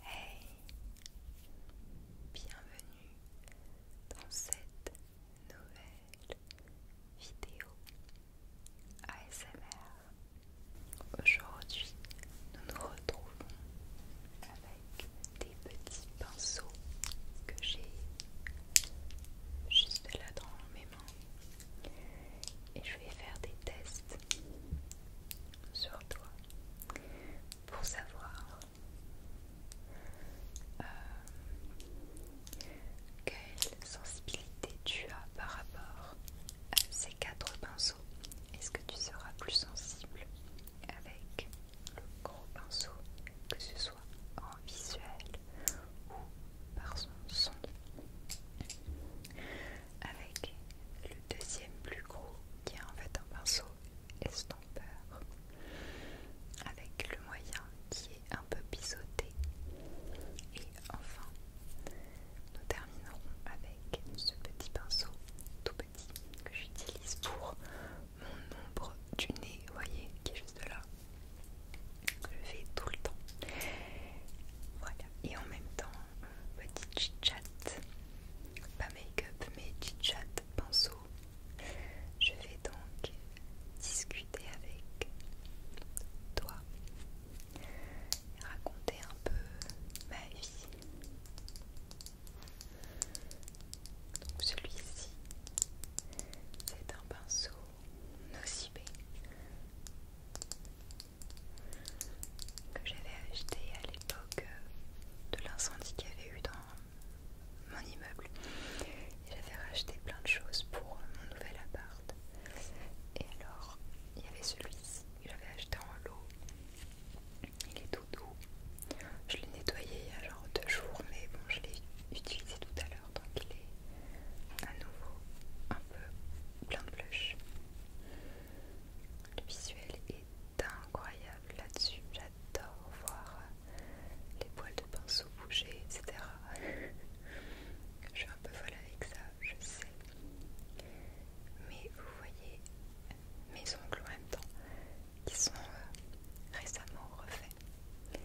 Hey, bienvenue dans cette nouvelle vidéo ASMR. Aujourd'hui, nous nous retrouvons avec des petits pinceaux que j'ai juste là dans mes mains et je vais faire des tests sur toi pour savoir euh, quelle sensibilité tu as par rapport à ces quatre pinceaux. Est-ce que tu seras plus sensible avec le gros pinceau, que ce soit en visuel ou par son son avec le deuxième plus gros qui est en fait un pinceau estompeur avec le moyen qui est un peu biseauté et enfin nous terminerons avec ce petit pinceau tout petit que j'utilise pour mon ombre du nez, vous voyez, qui est juste là, que je fais tout le temps. Voilà, et en même temps, petit chit-chat, pas make-up mais chit-chat pinceau. Je vais donc discuter avec toi, raconter un peu ma vie. Donc celui-ci, c'est un pinceau nocibé que j'avais acheté à l'époque euh, de l'incendie qu'il y avait eu dans mon immeuble. J'avais racheté plein de choses pour mon nouvel appart. Et alors, il y avait celui-ci que j'avais acheté en lot. Il est tout doux. Je l'ai nettoyé il y a genre deux jours, mais bon, je l'ai utilisé tout à l'heure, donc il est à nouveau un peu plein de blush. Le visuel est incroyable là-dessus. J'adore voir les poils de pinceau bouger, etc. je suis un peu folle avec ça, je sais. Mais vous voyez mes ongles en même temps qui sont euh, récemment refaits.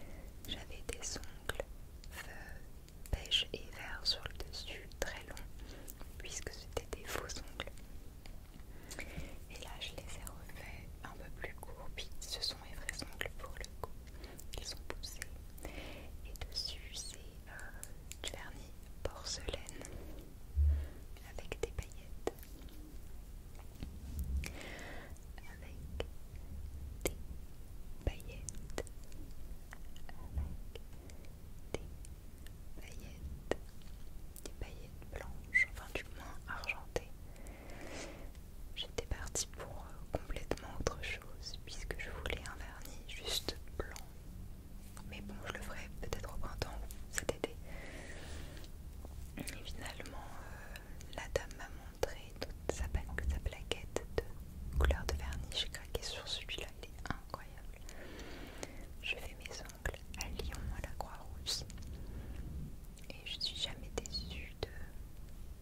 J'avais des ongles beige et vert sur le dessus, très long, puisque c'était des faux ongles. Et là, je les ai refaits un peu plus courts, puis ce sont mes vrais ongles pour le coup. Ils sont poussés. Et dessus, c'est euh, du vernis porcelaine avec des paillettes, avec des paillettes, avec des paillettes, des paillettes blanches, enfin du moins argentées. J'étais partie pour euh, complètement autre chose puisque je voulais un vernis juste blanc. Mais bon, je le ferai peut-être au printemps cet été. Et finalement, euh, la dame m'a montré toute sa plaquette de couleur de vernis. J'ai craqué sur celui-là est incroyable. Je fais mes ongles à Lyon, à la Croix-Rousse. Et je suis jamais déçue de...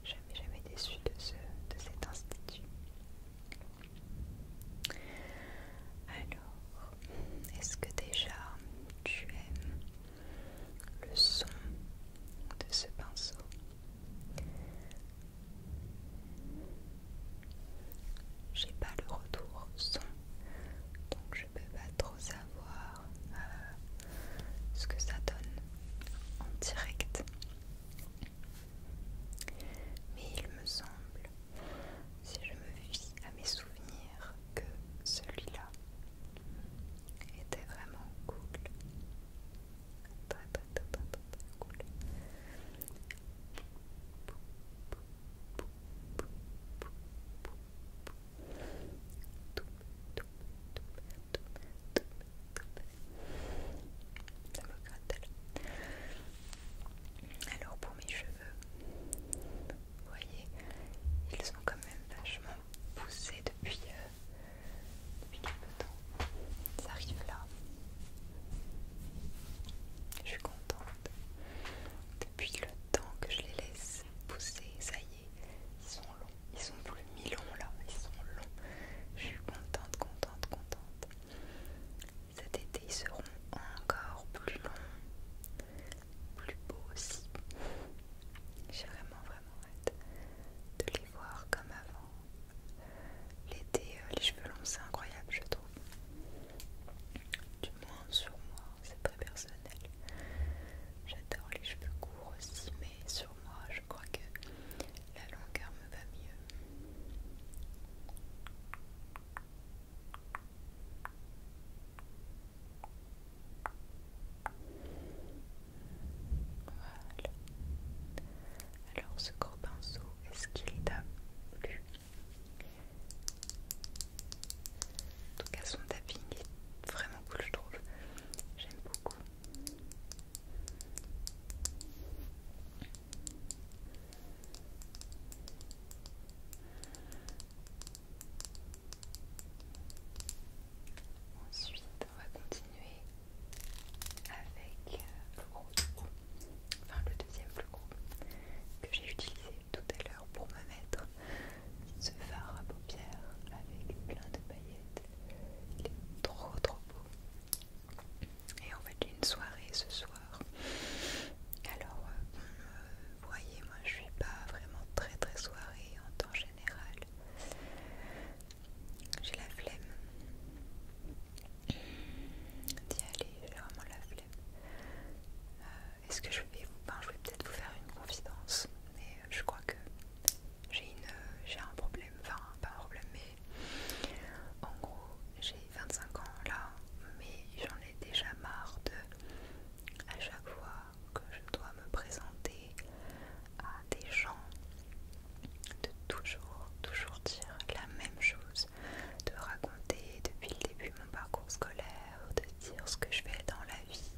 Jamais, jamais déçue de, ce, de cet institut. Alors, est-ce que déjà tu aimes le son de ce pinceau j'ai pas le retour son, donc je peux pas trop savoir euh, ce que ça donne en direct. Mais il me semble, si je me fie à mes souvenirs, que celui-là était vraiment cool. Très très très très très, très cool. Ça me gratte Alors pour mes cheveux, vous voyez, ils sont quand même vachement poussés depuis, euh, depuis quelque temps ça arrive là. Je suis contente. Depuis le temps que je les laisse pousser, ça y est, ils sont longs. Ils sont plus mi-longs là, ils sont longs. Je suis contente, contente, contente. Cet été, ils seront encore plus longs, plus beaux aussi. J'ai vraiment, vraiment hâte de les voir comme avant. L'été, euh, les cheveux longs, c'est incroyable, je trouve. Du moins sur moi, c'est très personnel. J'adore les cheveux courts aussi, mais sur moi, je crois que la longueur me va mieux. Voilà. Alors ce pinceau, est-ce qu'il t'a plu En tout cas son tapping est vraiment cool je trouve. J'aime beaucoup. Ensuite, on va continuer avec euh, le enfin le deuxième plus gros que j'ai utilisé tout à l'heure pour me mettre ce fard à paupières avec plein de paillettes. Il est trop trop beau. Et en fait j'ai une soirée ce soir. Alors euh, vous voyez moi je suis pas vraiment très très soirée en temps général. J'ai la flemme. Dis allez, j'ai vraiment la flemme. Euh, est-ce que je vais, ben, je vais peut-être vous faire une confidence, mais je crois que j'ai j'ai un problème, enfin pas un problème, mais en gros j'ai 25 ans là, mais j'en ai déjà marre de à chaque fois que je dois me présenter à des gens de toujours, toujours dire la même chose, de raconter depuis le début mon parcours scolaire, de dire ce que je fais dans la vie,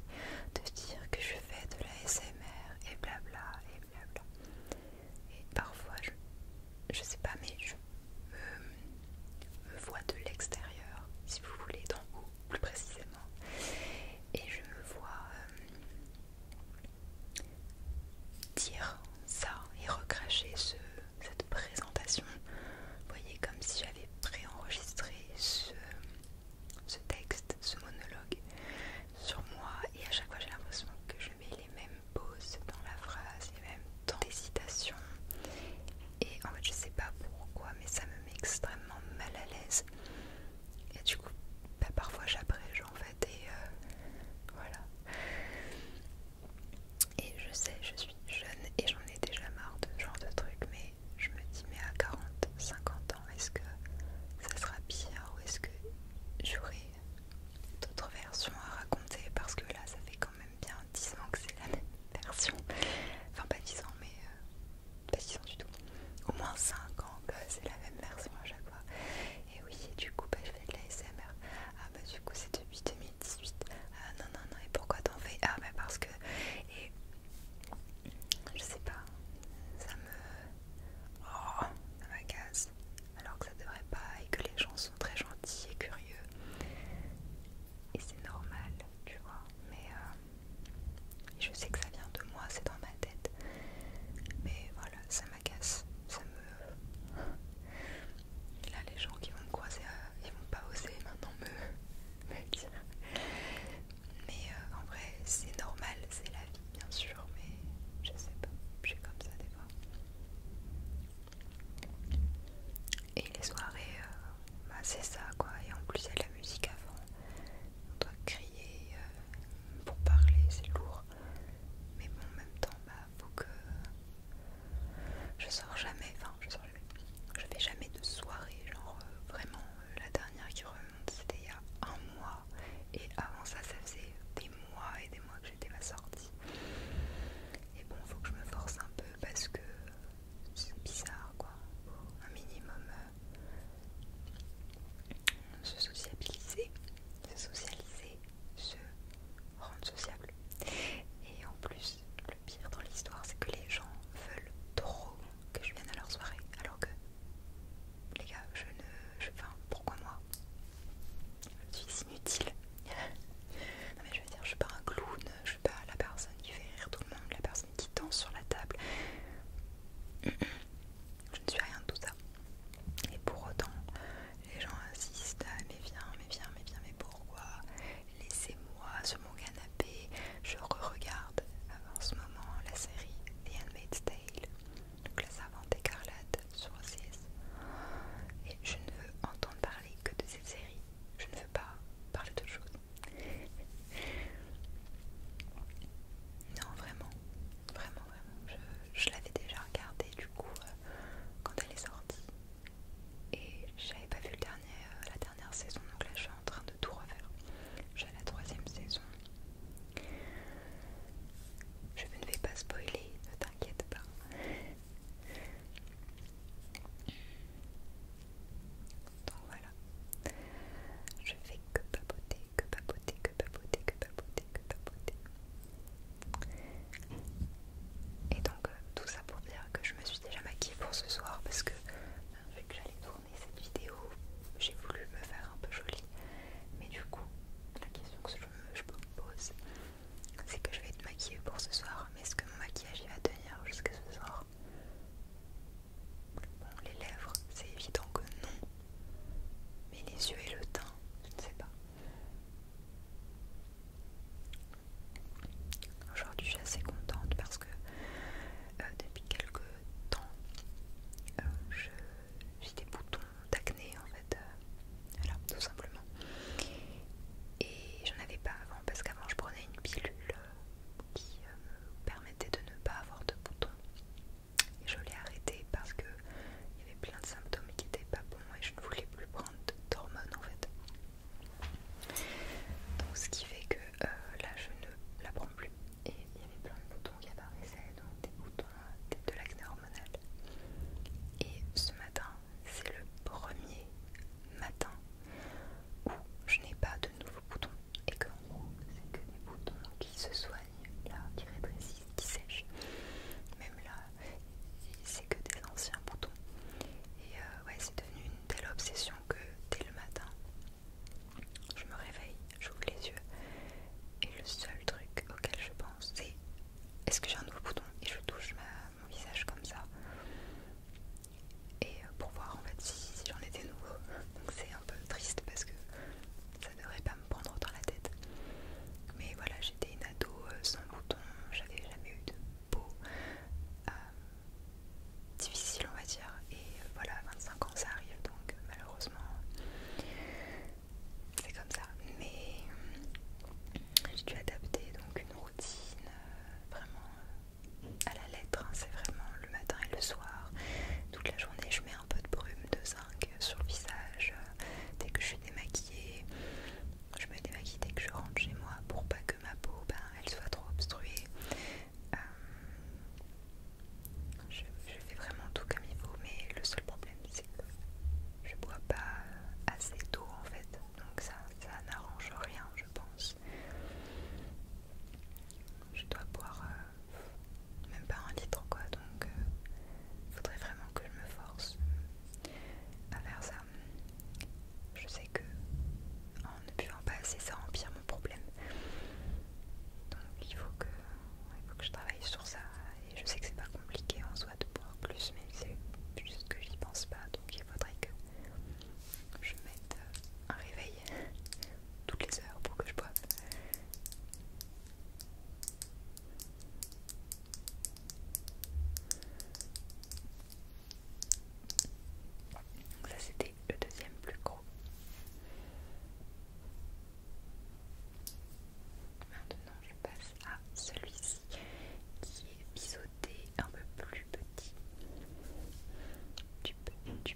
de dire que je fais de la SMR et blabla et blabla. Et parfois, je, je sais pas, mais je me, vois de l'extérieur, si vous voulez, d'en haut plus précisément, et je me vois. Euh, dire ça et recracher cette présentation. Vous voyez, comme si j'avais préenregistré ce, ce texte, ce monologue sur moi et à chaque fois j'ai l'impression que je mets les mêmes pauses dans la phrase, les mêmes temps des citations. Et en fait je sais pas pourquoi mais ça me met extrêmement mal à l'aise. Et du coup, bah, parfois j'abrège en fait, et euh, voilà. Et je sais, je suis jeune et j'en ai déjà marre de ce genre de truc, mais je me dis, mais à 40, 50 ans, est-ce que ça sera pire ou est-ce que j'aurai d'autres versions à raconter Parce que là, ça fait quand même bien 10 ans que c'est la même version. Enfin, pas 10 ans, mais euh, pas 10 ans du tout. Au moins 5 ans que c'est la même version à chaque fois. Et eh oui, et du coup, bah, je fais de l'ASMR. Ah, bah, du coup, c'est depuis 2018. Ah, non, non, non, et pourquoi t'en fais Ah, bah, parce que. Et. Je sais pas. Ça me. Oh, ça m'agace. Alors que ça devrait pas, et que les gens sont très gentils et curieux. Et c'est normal, tu vois. Mais. Euh, je sais que ça vient de moi, c'est normal tête. Mais voilà, ça m'agace, ça me... Là, les gens qui vont me croiser, euh, ils vont pas oser maintenant me, dire. Mais euh, en vrai, c'est normal, c'est la vie, bien sûr, mais je sais pas, je suis comme ça des fois. Et les soirées, euh, bah, c'est ça quoi, et en plus il y a de la musique avant. On doit crier pour parler, c'est lourd. Mais bon, en même temps, bah, faut que je sors jamais, enfin, je sors jamais, je fais jamais de soirée, genre euh, vraiment, euh, la dernière qui remonte, c'était il y a un mois, et avant ça, ça faisait des mois et des mois que j'étais pas sortie. Et bon, faut que je me force un peu parce que c'est bizarre, quoi, un minimum euh, se sociabiliser, se socialiser, se rendre sociable. Et en plus, le pire dans l'histoire, c'est que les gens veulent trop que je vienne à leur soirée, alors que les gars, je ne, enfin, pourquoi moi Je suis inutile. non mais je veux dire, je suis pas un clown, je suis pas la personne qui fait rire tout le monde, la personne qui danse sur la table. Je ne suis rien de tout ça. Et pour autant, les gens insistent à ah, mais viens, mais viens, mais viens, mais pourquoi Laissez-moi sur mon canapé, je re-regarde en ce moment la série The Handmaid's Tale, donc la servante écarlate sur CS. Et je ne veux entendre parler que de cette série, je ne veux pas parler d'autre chose. Non, vraiment, vraiment, je, l'avais déjà regardée du coup euh, quand elle est sortie. Et j'avais pas vu le dernier, euh, la dernière saison, donc là je suis en train de tout refaire. J'ai la troisième saison. Je ne vais pas spoiler, ne t'inquiète pas. Donc voilà, je fais que papoter que papoter, que papoter, que papoter, que papoter. Et donc euh, tout ça pour dire que je me suis déjà maquillée pour ce soir parce que ben, vu que j'allais tourner cette vidéo, j'ai voulu me faire un peu jolie. Mais du coup, la question que je me pose, c'est que je vais être maquillée pour ce soir. Mais est-ce que mon maquillage va tenir jusqu'à ce soir Bon, les lèvres, c'est évident que non. Mais les yeux et le teint, je ne sais pas. Aujourd'hui, je suis assez contente parce que euh, depuis quelques temps, euh, je j'ai des boutons d'acné en fait. Euh, tout simplement. Et j'en avais pas avant parce qu'avant, je prenais une pilule qui me permettait de ne pas avoir de boutons. Et je l'ai arrêté parce que il y avait plein de symptômes qui n'étaient pas bons et je ne voulais plus prendre d'hormones en fait. Donc ce qui fait que euh, là je ne la prends plus. Et il y avait plein de boutons qui apparaissaient, donc des boutons de l'acné hormonale. Et ce matin, c'est le premier matin où je n'ai pas de nouveaux boutons et en gros, c'est que des boutons qui se soignent, là, qui rétrécissent, qui sèchent. Même là, c'est que des anciens boutons. Et euh, ouais, c'est devenu une telle obsession que dès le matin, je me réveille, j'ouvre les yeux, et le seul truc auquel je pense, c'est est-ce que j'ai un nouveau bouton Et je touche mon visage comme ça. Et euh, pour voir en fait si, j'en ai des nouveaux. Donc c'est un peu triste parce que ça devrait pas me prendre dans la tête. Mais voilà, j'étais une ado euh, sans bouton, j'avais jamais eu de peau euh, difficile, on va dire. Et euh, voilà, 25 ans ça arrive donc malheureusement c'est comme ça. Mais j'ai dû adapter donc une routine vraiment à la lettre, hein, c'est vraiment le matin et le soir. Toute la journée, je mets un peu de brume de zinc sur le visage euh, dès que je suis démaquillée. Je me démaquille dès que je rentre chez moi pour pas que ma peau ben, elle soit trop obstruée. Euh, je, fais vraiment tout comme il faut, mais le seul problème c'est que je bois pas assez d'eau en fait, donc ça, ça n'arrange rien, je pense je dois boire euh, même pas un litre quoi donc il euh, faudrait vraiment que je me force à faire ça je sais que en ne buvant pas assez ça empire mon problème donc il faut que, il faut que je travaille sur ça et je sais que c'est pas compliqué en soi de boire plus mais c'est juste que j'y pense pas donc il faudrait que je mette euh, un réveil toutes les heures pour que je boive. Ça c'était le deuxième plus gros. Maintenant je passe à celui-ci qui est biseauté un peu plus petit. Tu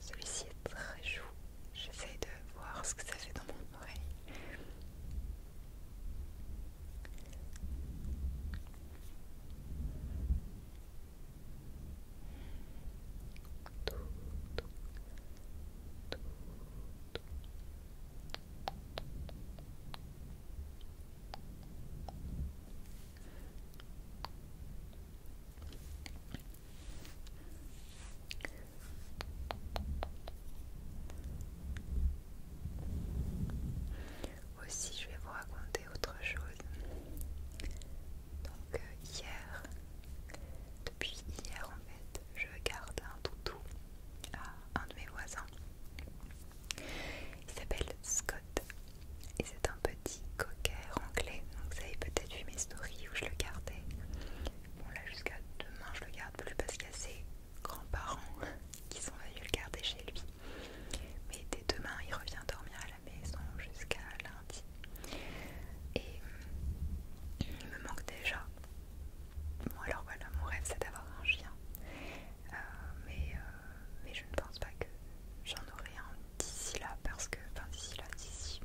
Celui-ci est très chou. J'essaie de voir ce que ça fait dans mon oreille. Aussi, je vais vous raconter autre chose. Donc, euh, hier, depuis hier en fait, je garde un toutou à un de mes voisins. Il s'appelle Scott et c'est un petit cocker anglais. Donc, vous avez peut-être vu mes stories où je le gardais. Bon là jusqu'à demain je le garde plus parce qu'il y a ses grands-parents qui sont venus le garder chez lui. Mais dès demain il revient dormir à la maison jusqu'à lundi. Et mm, il me manque déjà. Bon alors voilà, mon rêve c'est d'avoir un chien. Euh, mais, euh, mais je ne pense pas que j'en aurai un d'ici là parce que, enfin d'ici là, d'ici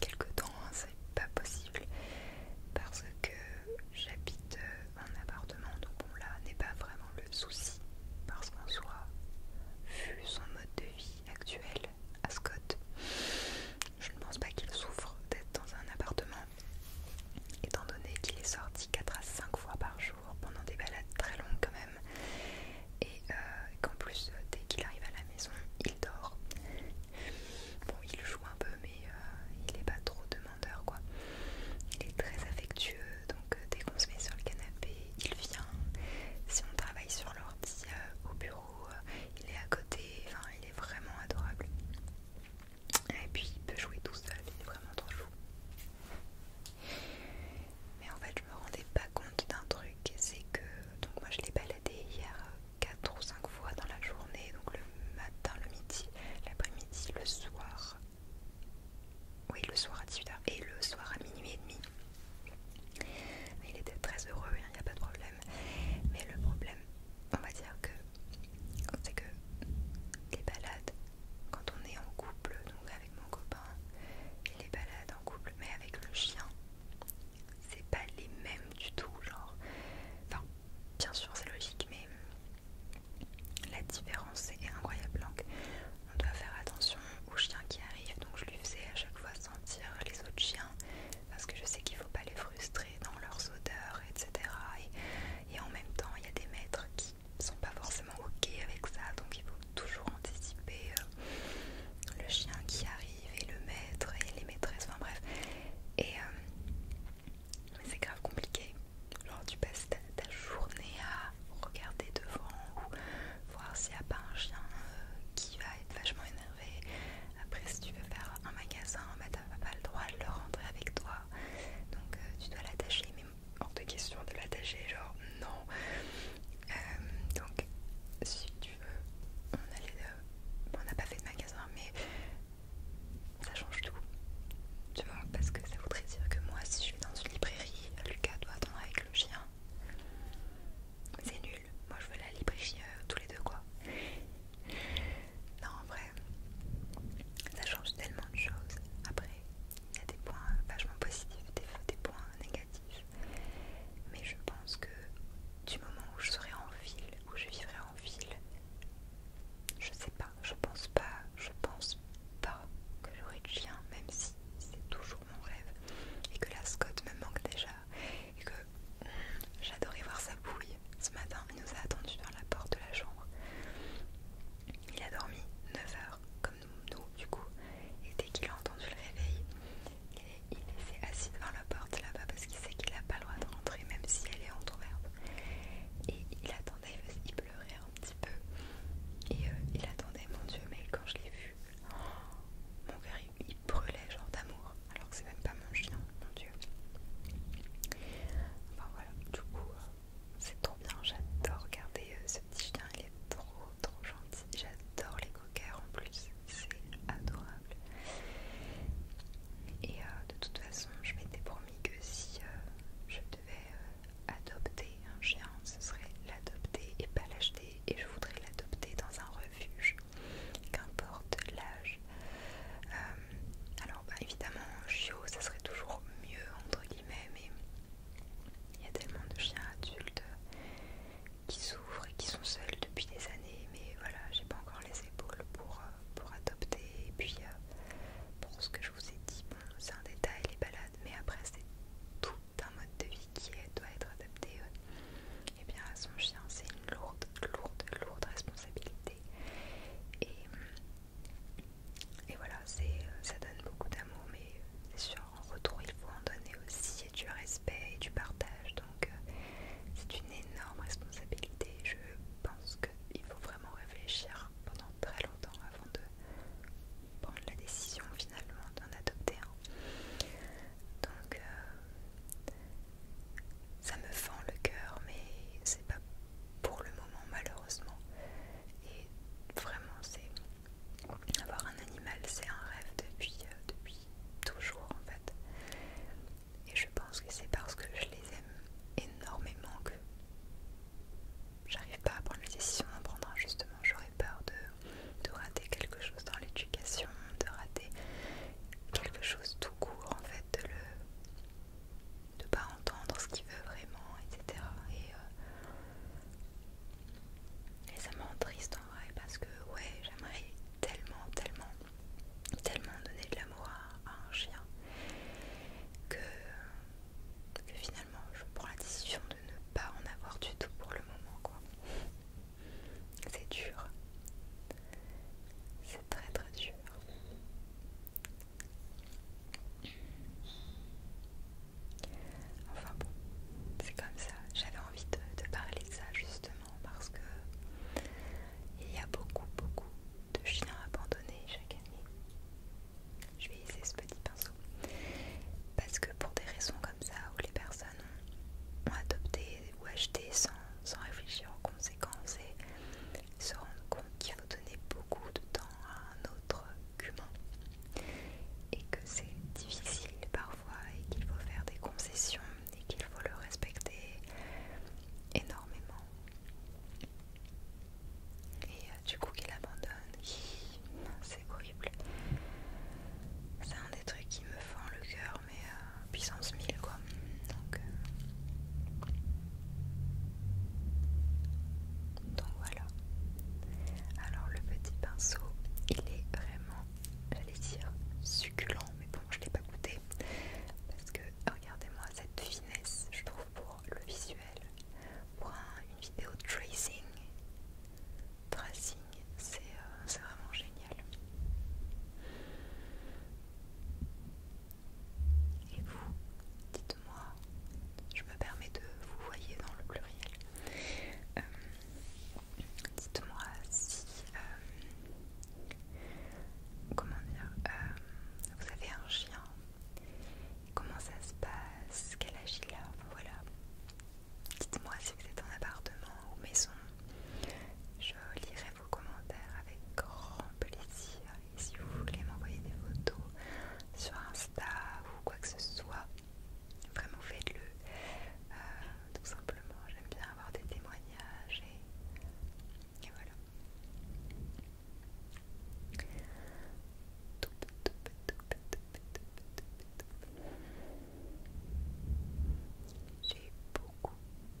quelque temps, hein, c'est pas possible parce que j'habite euh, un appartement, donc bon là n'est pas vraiment le souci parce qu'en soit, vu son mode de vie actuel à Scott, je ne pense pas qu'il souffre d'être dans un appartement étant donné qu'il est sorti 4 à 5 fois par jour pendant des balades très longues quand même et euh, qu'en plus euh, dès qu'il arrive à la maison il dort bon il joue un peu mais euh, il n'est pas trop demandeur quoi il est très affectueux donc dès qu'on se met sur le canapé il vient si on travaille sur l'ordi au bureau il est à côté enfin il est vraiment adorable et puis il peut jouer tout seul il est vraiment trop chou mais en fait je me rendais pas compte d'un truc c'est que donc moi je l'ai baladé hier 4 euh, ou 5 fois dans la journée donc le matin, le midi, l'après-midi, le soir oui le soir à 18h et le soir à minuit et demi il était très heureux, il hein, n'y a pas de problème mais le problème on va dire que c'est que les balades quand on est en couple donc avec mon copain et les balades en couple mais avec le chien c'est pas les mêmes du tout, genre. bien sûr, c'est logique, mais la différence est incroyable. Donc, on doit faire attention aux chiens qui arrivent. Donc, je lui faisais à chaque fois sentir les autres chiens parce que je sais qu'il faut pas les frustrer dans leurs odeurs, etc. Et, en même temps, il y a des maîtres qui sont pas forcément ok avec ça, donc toujours anticiper euh, le chien qui arrive et le maître et les maîtresses, enfin bref. Et euh, c'est grave compliqué. Genre tu passes ta, journée à regarder devant ou voir s'il n'y a pas un chien euh, qui va être vachement énervé. Après si tu veux faire un magasin, bah t'as pas le droit de le rentrer avec toi. Donc tu dois l'attacher, mais hors de question de l'attacher, genre non. Euh, donc, si tu veux, on a On n'a pas fait de magasin, mais ça change tout. Tu vois, parce que ça voudrait dire que moi, si je suis dans une librairie, Lucas doit attendre avec le chien. C'est nul. Moi, je veux la librairie euh, tous les deux, quoi. Non, en vrai, ça change tellement de choses. Après, il y a des points vachement positifs, et des points négatifs. Mais je pense que du moment où je serai en ville, où je vivrai en ville, je sais pas, je pense pas, je pense pas que j'aurai de chien, même si c'est toujours mon rêve, et que la Scott me manque déjà, et que j'adorais voir sa bouille. Ce matin, il nous a attendu dans la porte de la chambre. Il a dormi 9 h comme du coup. Et dès qu'il a entendu le réveil, il, il s'est assis devant la porte là-bas parce qu'il sait qu'il n'a pas le droit de rentrer, même si elle est entrouverte. Et il attendait, il pleurait un petit peu. Et euh, il attendait, mon Dieu, mais quand je l'ai vu, oh, mon cœur il, brûlait genre d'amour. Alors que c'est même pas mon chien, mon Dieu. Enfin voilà, du coup, euh, c'est trop bien, j'adore regarder euh, ce il est trop trop gentil. J'adore les coquers en plus, c'est adorable. Et euh, de toute façon, je m'étais promis que si euh, je devais euh, adopter un chien, ce serait l'adopter et pas l'acheter. Et je voudrais l'adopter dans un refuge, qu'importe l'âge. alors, bah, évidemment, un chiot, ça serait toujours mieux, entre guillemets, mais il y a tellement de chiens adultes qui souffrent et qui sont seuls depuis des années, mais voilà, j'ai pas encore les épaules pour, euh, pour adopter. Et puis, euh, pour ce que je vous ai dit, c'est un détail, les balades, mais après, c'est tout un mode de vie qui doit être adapté et euh. eh bien à son chien. C'est une lourde, lourde, lourde responsabilité. Et, et voilà, ça donne beaucoup d'amour, mais c'est sûr en retour, il faut en donner aussi du respect et du partage. Donc, euh, c'est une énorme responsabilité. Je pense qu'il faut vraiment réfléchir pendant très longtemps avant de prendre la décision finalement d'en adopter un. Donc, euh, ça me fend le cœur, mais c'est pas pour le moment malheureusement. Et vraiment, c'est avoir un animal, c'est un rêve depuis, euh, depuis toujours en fait. Et je pense que c'est parce que je les aime énormément que j'arrive pas à prendre les décisions d'en prendre un justement. J'aurais peur de, de rater quelque chose dans l'éducation, de rater quelque chose tout court en fait, de le pas entendre ce qu'il veut vraiment, etc. Et ça me rend triste en vrai parce que ouais j'aimerais tellement tellement tellement donner de l'amour à, un chien que, que finalement je prends la décision de ne pas en avoir du tout pour le moment quoi. C'est dur. C'est très très dur. Enfin bon, c'est comme ça. J'avais envie de, parler de ça justement parce que il y a beaucoup, beaucoup de chiens abandonnés chaque année. Je vais essayer ce petit pinceau. Parce que pour des raisons comme ça, où les personnes ont, adopté ou acheté sans, réfléchir aux conséquences et se rendre compte qu'il nous donner beaucoup de temps à un autre et que c'est difficile parfois et qu'il faut faire des concessions et qu'il faut le respecter énormément. Et euh, du coup qu'il abandonne, c'est horrible. C'est un des trucs qui me fend le cœur, mais euh, puissance 1000 quoi. Donc euh, voilà. Alors le petit pinceau, il est vraiment, j'allais dire, succulent, mais bon, je ne l'ai pas goûté. Parce que regardez-moi cette finesse, je trouve, pour le visuel, pour une vidéo tracing. Tracing, euh, c'est vraiment génial. Et vous, dites moi je me permets de vous voyez dans le pluriel euh, dites moi si euh, comment dire euh, vous avez un chien comment ça se passe quel âge il voilà dites moi si vous êtes en appartement ou maison je lirai vos commentaires avec grand plaisir et si vous voulez m'envoyer des photos sur Instagram ou quoi que ce soit. Vraiment faites-le. Euh, tout simplement, j'aime bien avoir des témoignages et, voilà. J'ai beaucoup,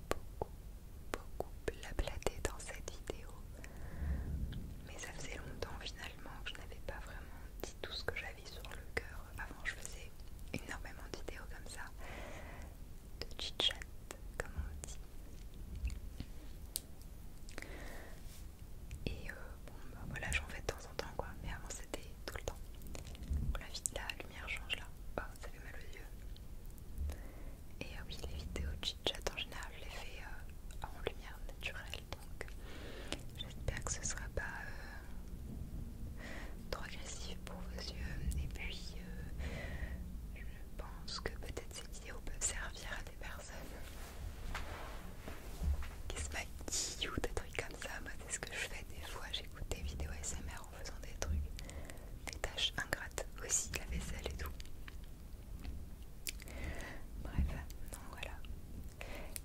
beaucoup, beaucoup blablaté dans cette vidéo, mais ça faisait longtemps finalement que je n'avais pas vraiment dit tout ce que j'avais sur le cœur. Avant, je faisais énormément de vidéos comme ça, de chit-chat, comme on dit. Et euh, bon, bah voilà, j'en fais de temps en temps quoi, mais avant c'était tout le temps. la, vie, la lumière change là, oh, ça fait mal aux yeux. Et euh, oui, les vidéos chit-chat en général, je les fais euh, en lumière naturelle donc j'espère que ce sera pas euh, trop agressif pour vos yeux et puis euh, je pense que peut-être ces vidéos peuvent servir à des personnes qui se maquillent ou des trucs comme ça, moi c'est ce que je fais des fois, j'écoute des vidéos SMR en faisant des trucs, des tâches ingrates aussi, la vaisselle et tout Bref, non voilà.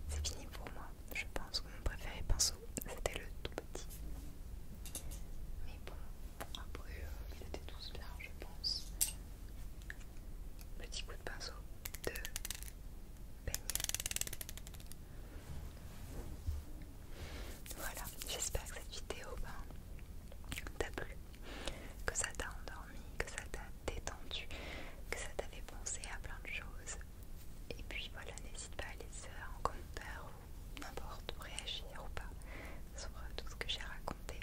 C'est fini pour moi. Je pense que mon préféré pinceau, c'était le tout petit. Mais bon, après, euh, ils étaient tous bien, je pense. Petit coup de pinceau de peigne. Voilà, j'espère que cette vidéo ben, t'a plu que ça t'a endormi, que ça t'a détendu, que ça t'avait pensé à plein de choses. Et puis voilà, n'hésite pas à laisser un commentaire ou n'importe, réagir ou pas sur euh, tout ce que j'ai raconté.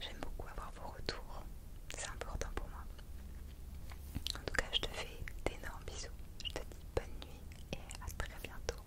J'aime beaucoup avoir vos retours, c'est important pour moi. En tout cas, je te fais d'énormes bisous. Je te dis bonne nuit et à très bientôt.